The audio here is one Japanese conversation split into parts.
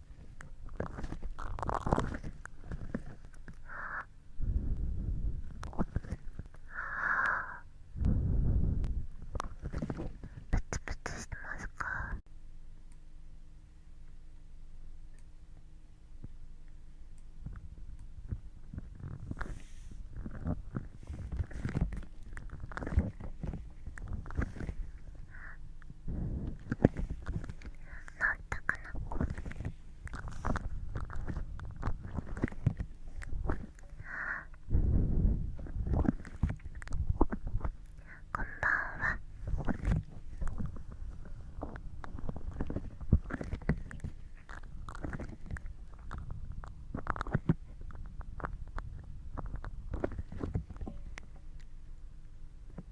あ。あ。プツプツしてますかったかなこんばんは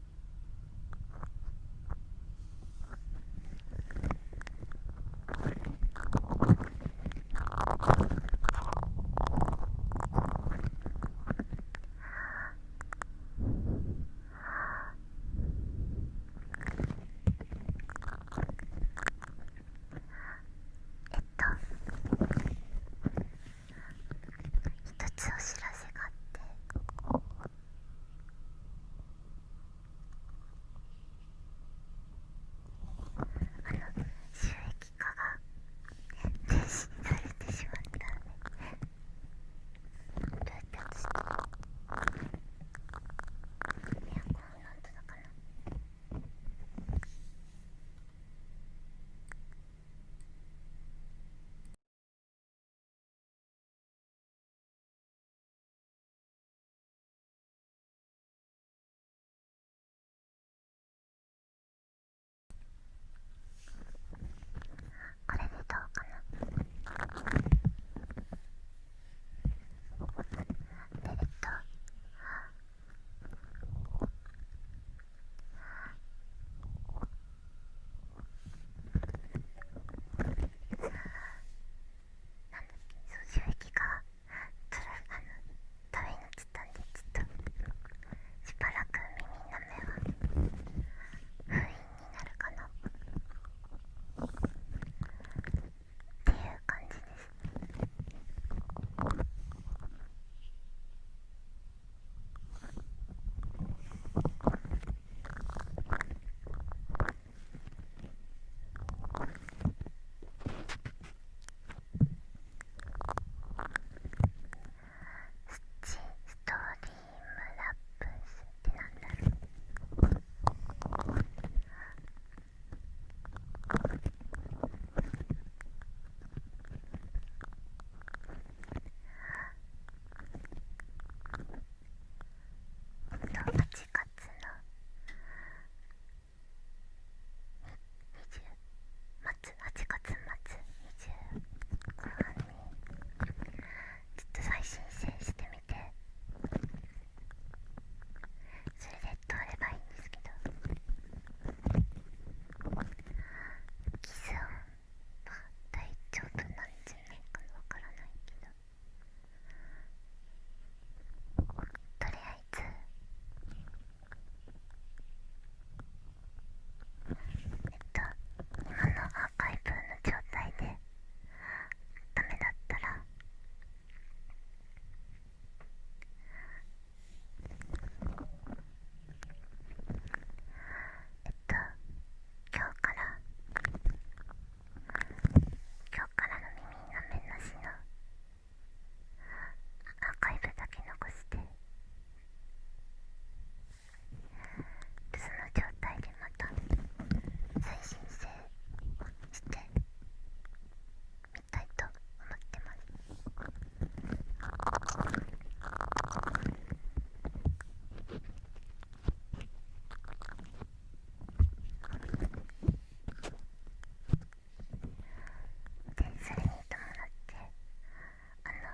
えっと一つお知らせがあって。あの収益化が停止されてしまったんでどうやって落ちたの。エアコンの音だから。これでどうなんだ。衝撃がトラあの食べに来たんでちょっとしばらく耳の目は封印になるかなっていう感じです。ストリームラップスってなんだろうと8月の20末8月末20後半にちょっと再申請してみてそれで通ればいいんですけどキス音は大丈夫なんじゃないかわからないけど。とりあえずえっと今のアーカイブの状態でダメだったらえっと今日から今日からの耳の面なしのアーカイブだけ残してその状態でまた再申請してみたいと思ってます。でそれに伴ってあの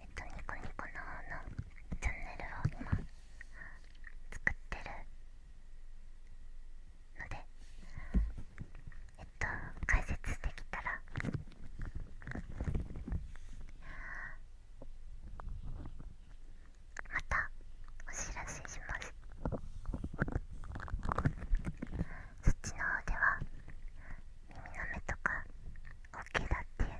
えっとニコニコの方のチャンネルを今作ってるのでえっ解説できたらまたお知らせしますそっちの方では耳の目とかオケだっていうの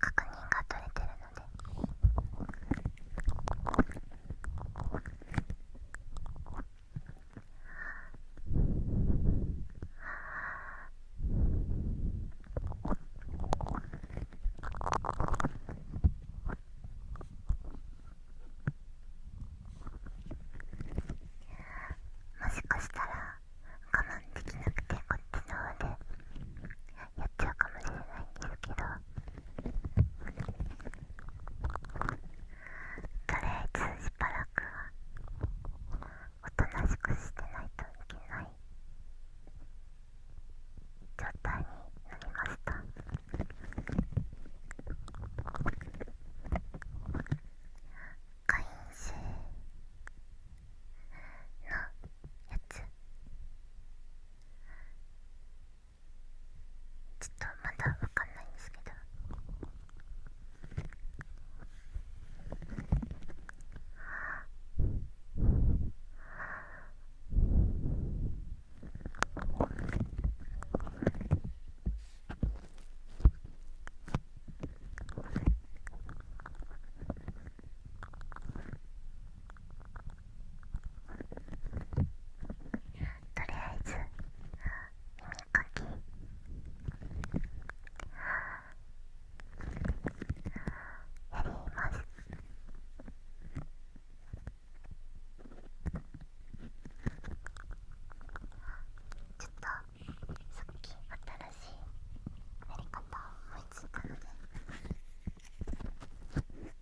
確認が取れてるのではぁ…。もしかしたら我慢できなくてこっちの方でやっちゃうかもしれないんですけど。とりあえずしばらくはおとなしくしてないといけない状態になりました会員制のやつちょっとまだわかんないんですけどあとりあえず耳かきやります。ちょっとさっき新しいやり方を思いついたので。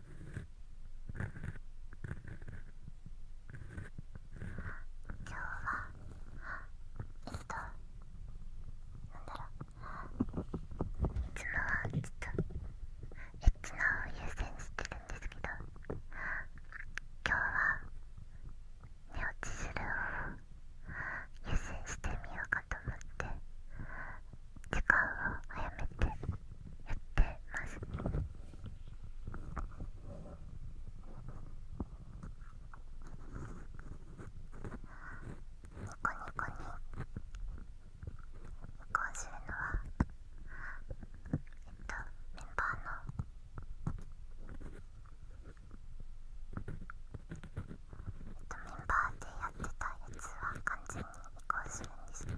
今日はえっとなんだろいつもはちょっといつチのを優先してるんですけど今日は寝落ちするを優先してみようかと思って時間を早めて。やってます。ニコニコに移行するのはえっとメンバーのえっとメンバーでやってたやつは完全に移行するんですけど。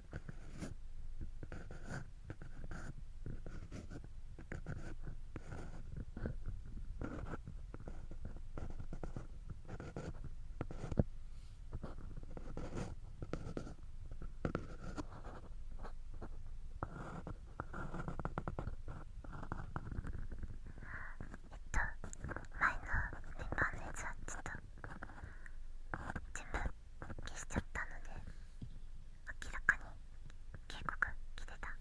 前のメンバーのやつはちょっと自分消しちゃったので明らかに警告来てたので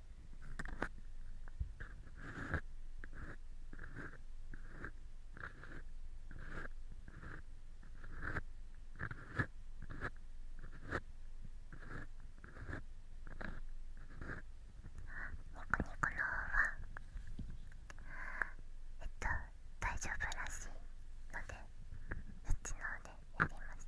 ニニココのは。えっと大丈夫らしいのでそっちの方でやります。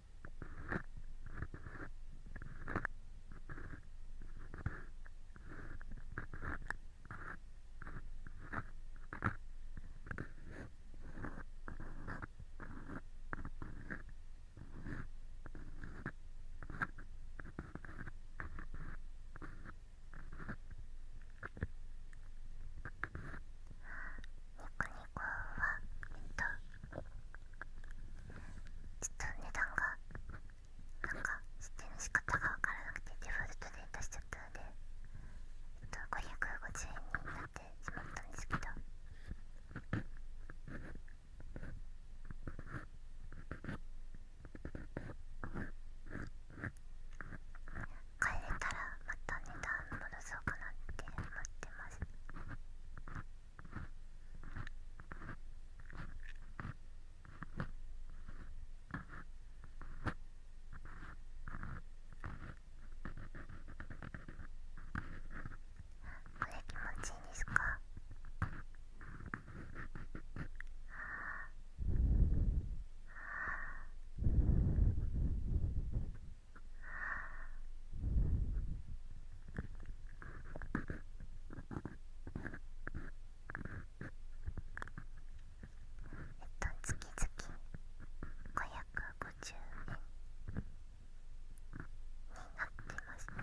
他に号はえっとちょっと値段がなんか知指定の仕方が分からなくてデフォルトで出しちゃったので、えっと、550円になってしまったんですけど。帰れたらまた値段戻そうかなって思ってます。これ気持ちいいですかあああえっと月々550円になってました。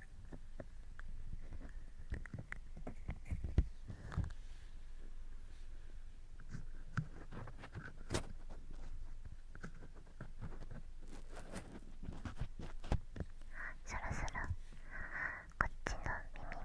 そろそろこっちの耳も。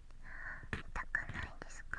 痛くないですか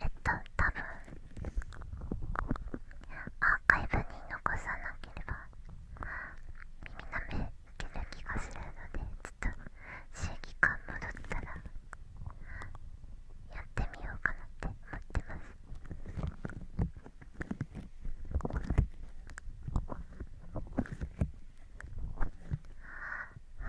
えっと多分アーカイブに残さなければ耳なめいける気がするのでちょっと正義感戻ったらやってみようかなって思ってます。は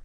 あ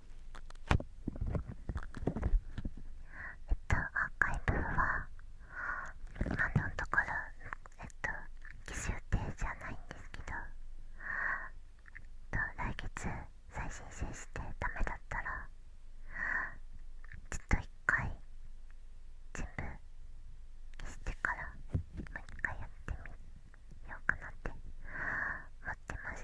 えっとアーカイブは今のところえっと期集定じゃないんですけど、と、来月再申請してダメだったらちょっと一回全部消してからもう一回やってみようかなってもってますあ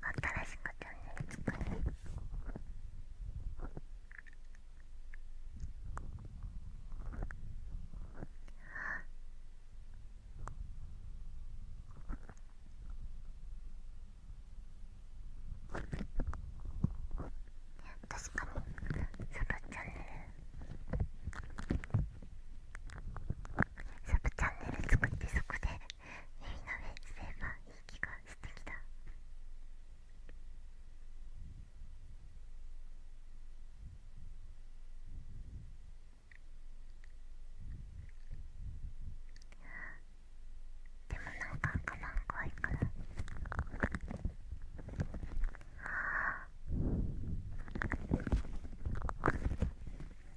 新しくチャンネル作る確かにサブチャンネルサブチャンネル作ってそこでみんなでセーバーいい気がしてきたでもなんかカバン怖いから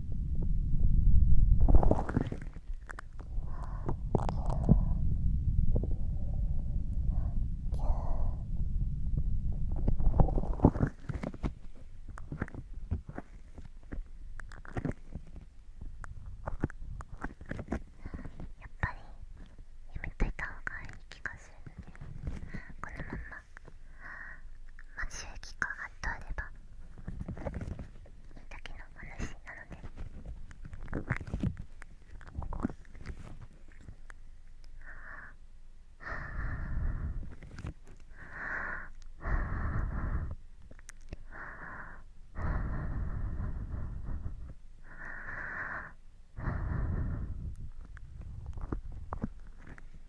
やっぱりめといた方がいい気がするねこのまままあ周期化が貼ってあればいいだけの話なのであ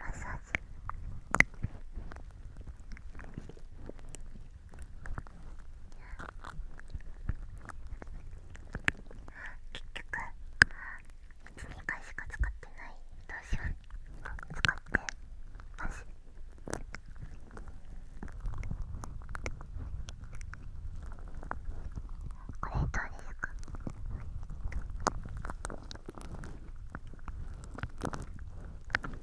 マッサージ結局1、2回しか使ってないどうしよう。使ってますこれどうですかこ…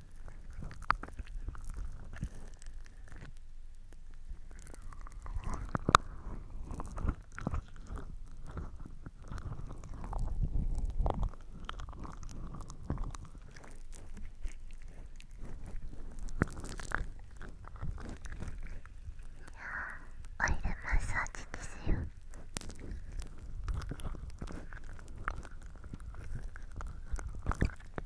おいでマッサージですよ。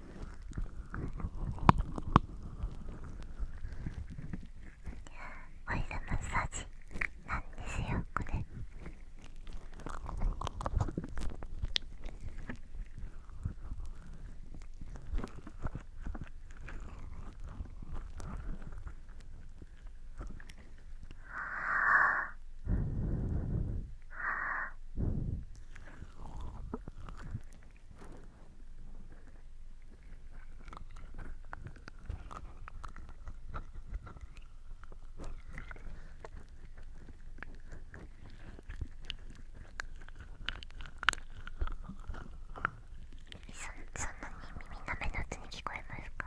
オイルマッサージなんですよこれああそんなに耳なめの音に聞こえますか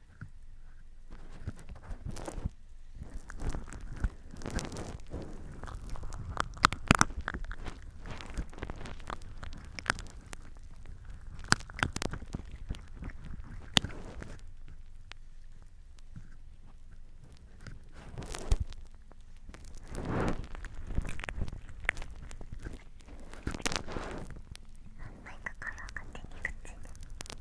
んまりかかなくてに口に。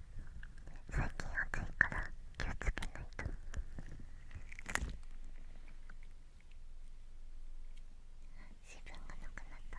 最近暑いから気をつけないと自分がなくなった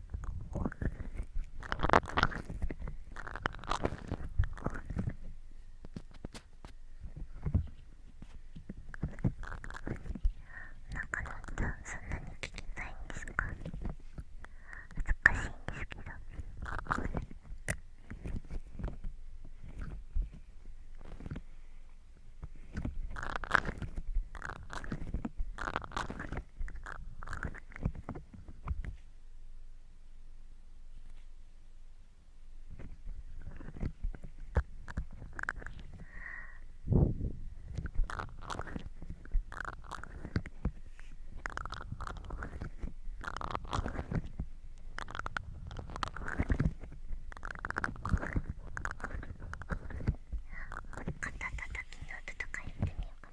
なかなかそんなに聞きないんですか難しいんですけど肩たたきの音とか言ってみようかな。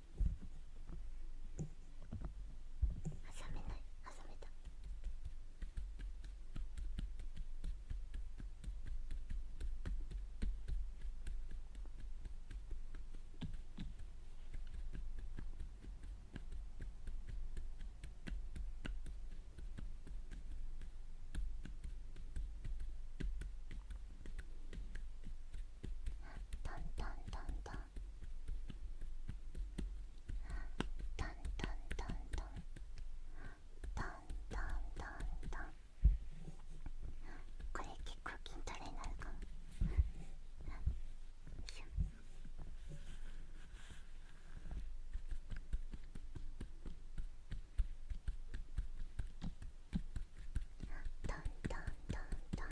挟めない挟めたトントントントントントントントントントントントンこれ結構筋トレになるかもトントントントン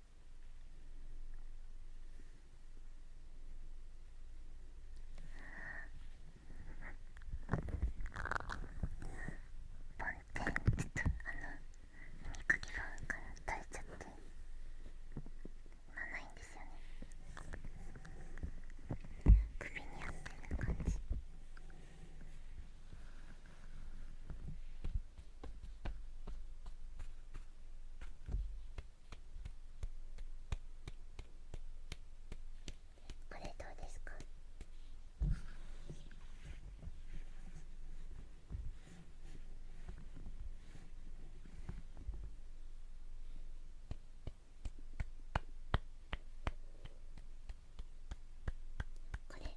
ちょっとあの耳かきがから垂れちゃって今ないんですよね首にあってる感じ。これどうですかこれ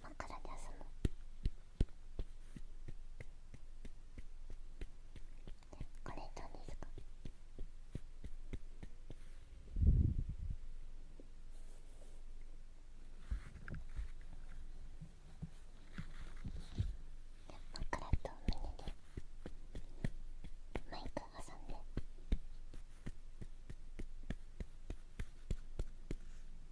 枕で遊ぶこれどうですか枕と胸でマイク挟んで。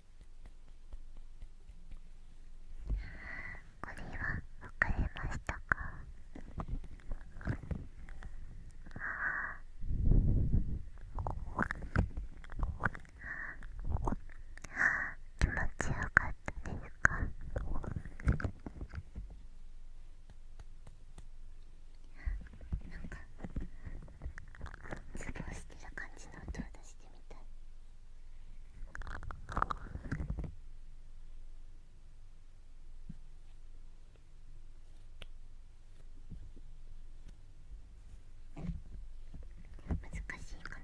これは分かれましたかああ気持ちよかったですかなんかズボしてる感じの音を出してみたい。難しいかな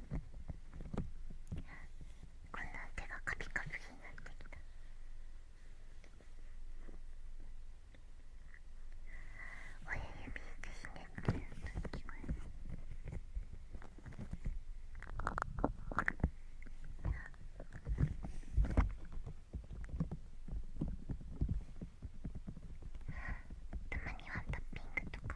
こんな手がカピカピになってきた親指でひねってると聞こえるあたまにはンタッピングとか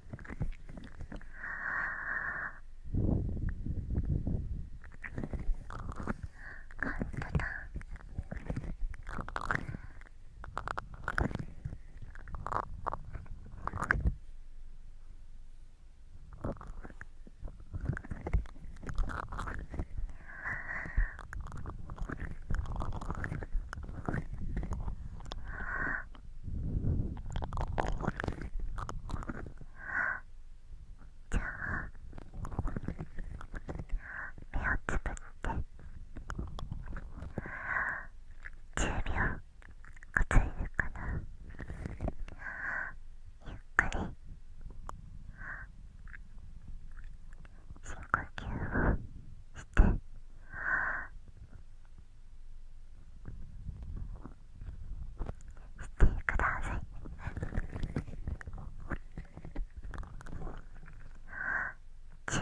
♪じゃあ目をつぶって10秒こつえるかなゆっくり深呼吸をして。してくださいチューチ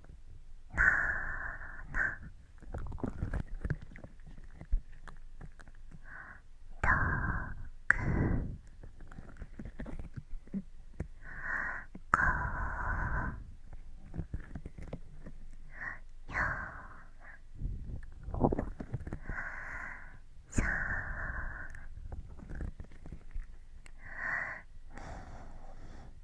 三。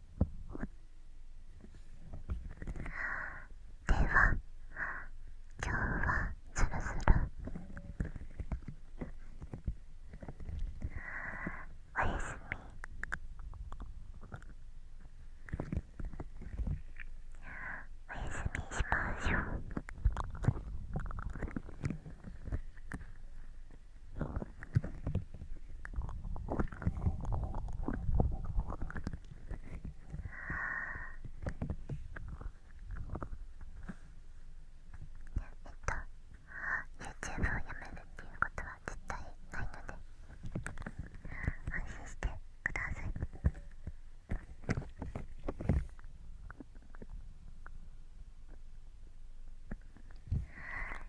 では今日はスルスルおやすみおやすみしましょうえっ YouTube をやめるっていうことは絶対ないので安心してください。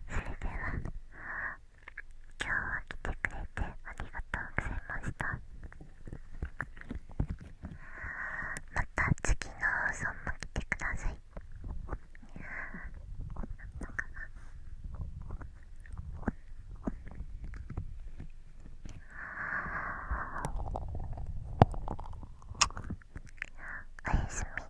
それでは今日は来てくれてありがとうございましたまた次の放送も来てくださいおやすみ